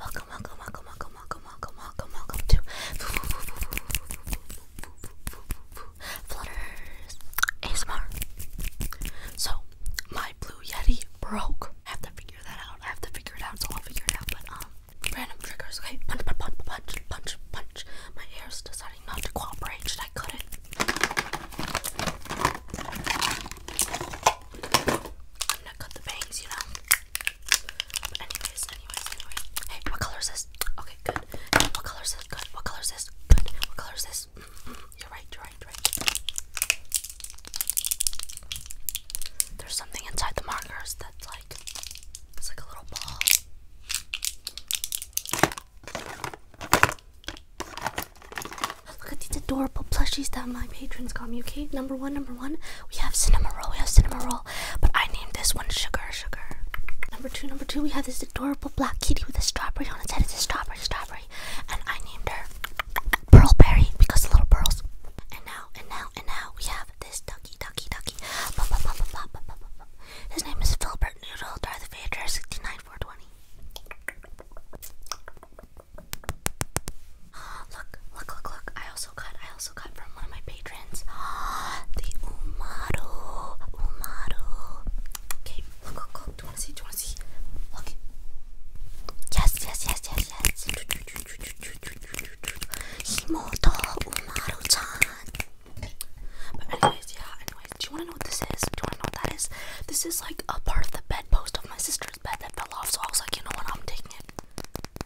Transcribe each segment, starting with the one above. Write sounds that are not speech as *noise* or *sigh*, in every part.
Welcome, welcome, welcome, welcome, welcome, welcome, welcome, welcome to Flutters ASMR. So, my Blue Yeti broke. I have to figure that out. I have to figure it out, so I'll figure it out. But, um, random triggers, okay? Punch, punch, punch, punch, punch, punch. My hair's deciding not to cooperate. Should I cut it? I'm gonna cut the bangs, you know. But anyways, anyways, anyways. Hey, what color is this? Okay, good. what color is this? Good. What color is this? Good. What color is this? Mm-hmm. You're right, you're right, you're right. There's something inside the markers that's like it's like a little ball. Look at these adorable plushies that my patrons got me, okay? Number one, number one, we have Cinema Roll, we have Cinema Roll, but I named this one Sugar Sugar. Number two, number two, we have this adorable black kitty with a strawberry on its head. It's a strawberry, strawberry, and I named her Pearlberry because of little pearls. And now, and now, and now, we have this ducky, ducky, ducky. His name is Filbert Noodle, Darth Vader, 69420. *gasps* Look, look, look, look. I also got I also got from one of my patrons *gasps* the Umaru. Umaru. Okay, look, look, look. Do you wanna see? Do you wanna see? Look. Yes, yes, yes, yes, yes. Himoto Umaru-chan. But anyways, yeah, anyways, do you wanna know what this is? Do you wanna know what that is? This is like a part of the bedpost of my sister. There's bed that fell off, so I was like, you know what? I'm taking it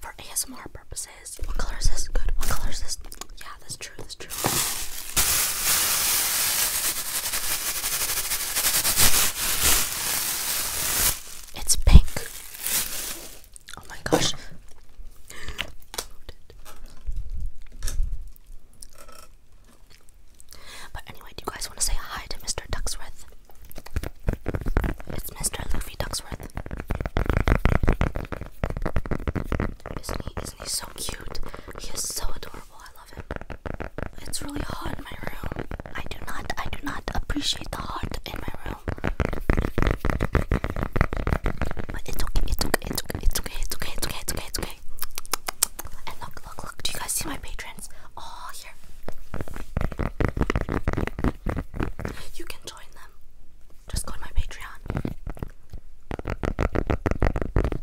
for ASMR purposes. What color is this? Good. What color is this? Yeah, that's true. That's true. It's pink. Oh my gosh. *gasps* But anyway, do you guys want to say hi to Mr. Ducksworth? It's Mr. Luffy Ducksworth. Isn't he? Isn't he so cute? He is so adorable. I love him. It's really hot in my room. I do not. I do not appreciate the heat in my room. it's okay. It's okay. It's okay. It's okay. It's okay. It's okay. It's okay. It's okay. And look, look, look. Do you guys see my patrons? Oh, here. You can join them. Just go to my Patreon.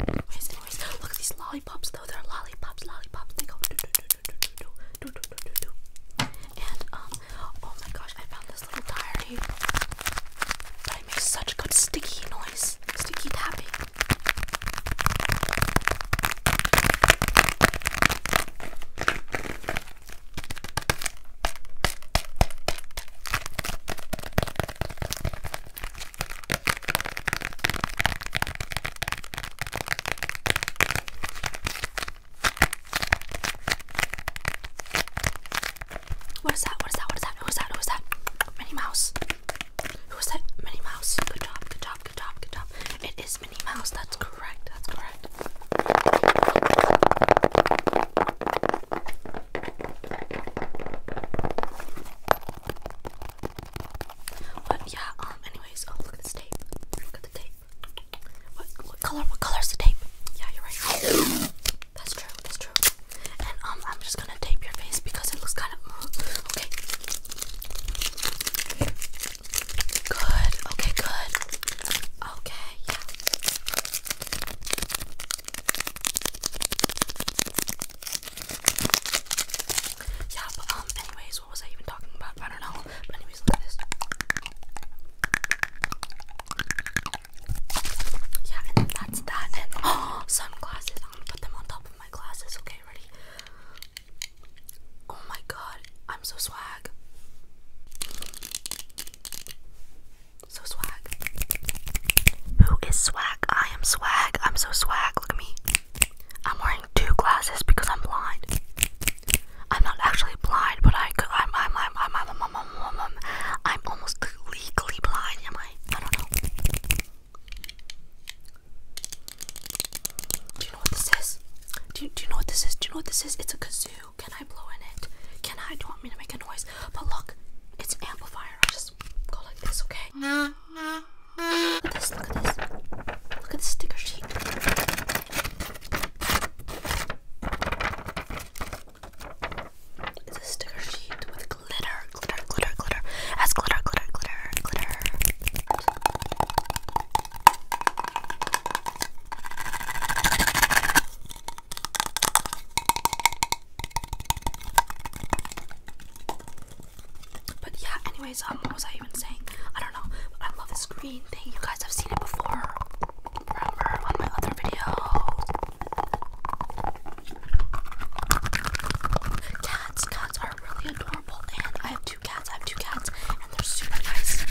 Anyways, anyways, look at these lollipops though. They're lollipops, lollipops. They go do do do do do do do do do do. And um, oh my gosh, I found this little diary. But I made such good sticky noise, sticky tapping. What is that? What is that? What is that? Who's that? Who's that? Minnie Mouse. Who was that? Minnie Mouse. Good job, good job, good job, good job. It is Minnie Mouse. That's correct, that's correct. But yeah, um, anyways, oh, look at this tape. Look at the tape. What, what color? What color is the tape? Yeah, you're right. That's true, that's true. And um, I'm just gonna tape your face because it looks kind of uh, okay. Good. Okay. Good. Okay. Yeah. Yeah. But um. Anyways, what was I even talking about? I don't know. But anyways, look this. Yeah, and that's that. And *gasps* sunglasses. I'm put them on top of my glasses. Okay, ready? Oh my god, I'm so swag. So swag. Who is swag? I am swag. I'm so swag. Look at me. I'm wearing two glasses because I'm blind. I'm not actually blind, but I, am I'm, I'm, I'm, I'm, I'm, I'm, I'm, almost legally blind. Am do you know what this is? Do you, know what this is? Do you know what this is? It's a kazoo. Can I blow in it? Can I? Do you want me to make a noise? But look, it's an amplifier. I just go like this, okay? Look at this. Look at this. Look at this sticker sheet. It's a sticker sheet with glitter, glitter, glitter, glitter. It has glitter, glitter, glitter, glitter. But yeah, anyways, um, what was I even saying? I don't know. But I love this green thing. You guys have seen it before. Remember on my other videos. Cats, cats are really adorable, and I have two cats. I have two cats, and they're super nice.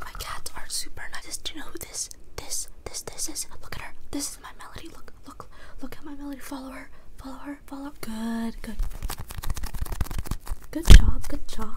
My cats are super nice. This, do you know who this, this, this, this is? Look at her. This is my Melody. Look, look, look at my Melody. follower, follower, follower. Good, good. Good job, good job.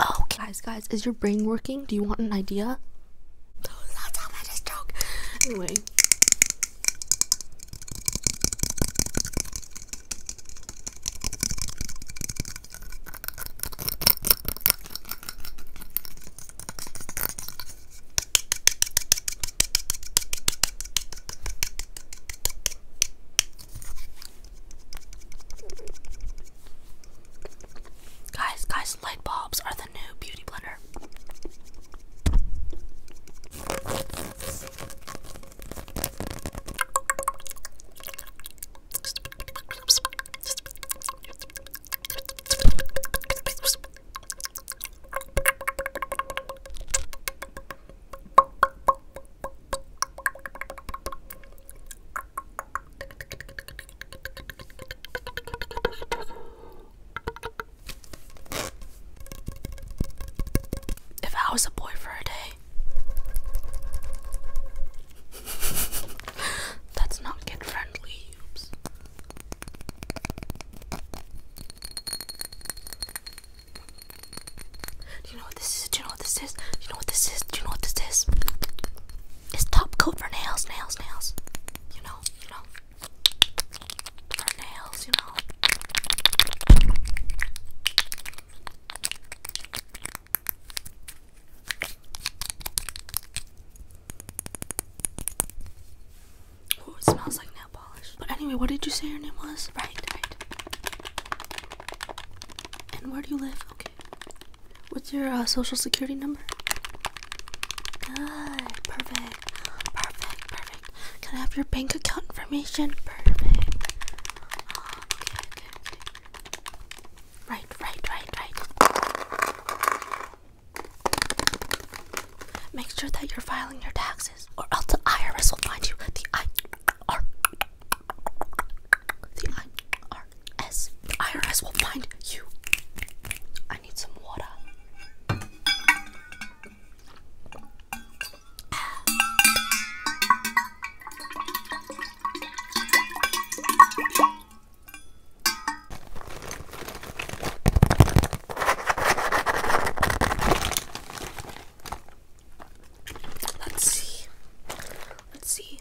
Okay. Guys, guys, is your brain working? Do you want an idea? Guys, guys, light bulbs are the new beauty blender. If I was a boy for a day, *laughs* that's not kid friendly, oops. Do you know what this is? Do you know what this is? Do you know what this is? Do you know what this is? It's top coat for nails, nails, nails. You know, you know. For nails, you know. Oh, it smells like nail polish. But anyway, what did you say your name was? Right, right. And where do you live? Okay. What's your uh, social security number? Good. Perfect. Perfect. Perfect. Can I have your bank account information? Perfect. Oh, okay, okay, okay. Right, right, right, right. Make sure that you're filing your taxes, or else the IRS will find you. The I R the IRS. The IRS will find you. I need some water. Let's see. Let's see.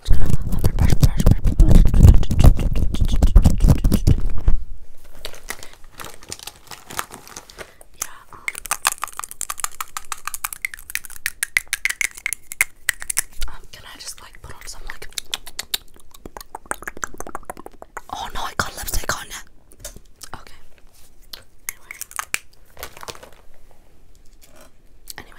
I'm just gonna brush, brush, brush, brush, brush yeah. Um, um, can I just like put on some like? Oh no, I got lipstick on it. Okay. Anyway.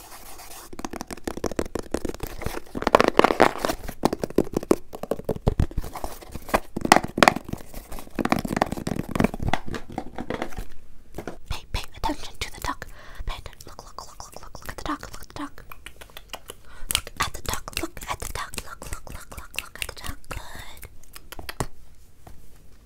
Pay, pay attention to the duck. Pay attention. Look, look, look, look, look, look at the duck. Look at the duck. Look at the duck. Look at the duck. Look, look, look, look, look at the duck. Good.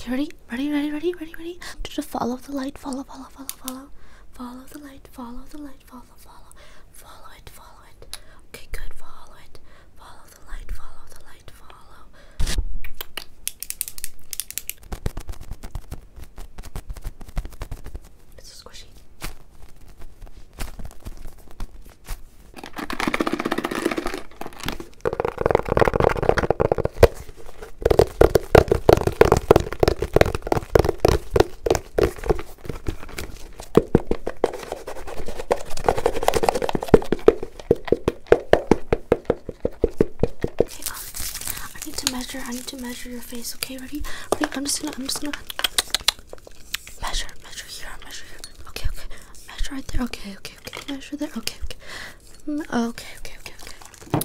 Okay, ready? Ready, ready, ready, ready, ready. Just follow the light, follow, follow, follow, follow. Follow the light, follow the light light, follow, follow, follow it, follow it. Okay, good, follow it. Follow the light, follow the light, follow. It's so squishy. Okay, um, I need to measure. I need to measure your face. Okay, ready? Ready? I'm just gonna. I'm just gonna measure. Measure here. Measure here. Okay, okay. Measure right there. Okay, okay, okay. Measure there. Okay, okay. Mm, okay, okay, okay, okay.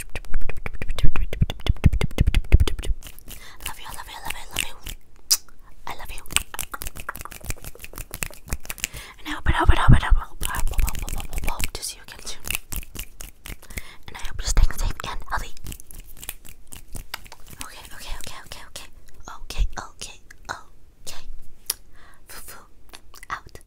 Love you, I love you, love you, love you. I love you. And I hope it, hope it, hope it, hope, hope, hope, hope, hope, to see you again soon. And I hope you're staying safe and healthy. Okay, okay, okay, okay, okay, okay, okay, okay. out.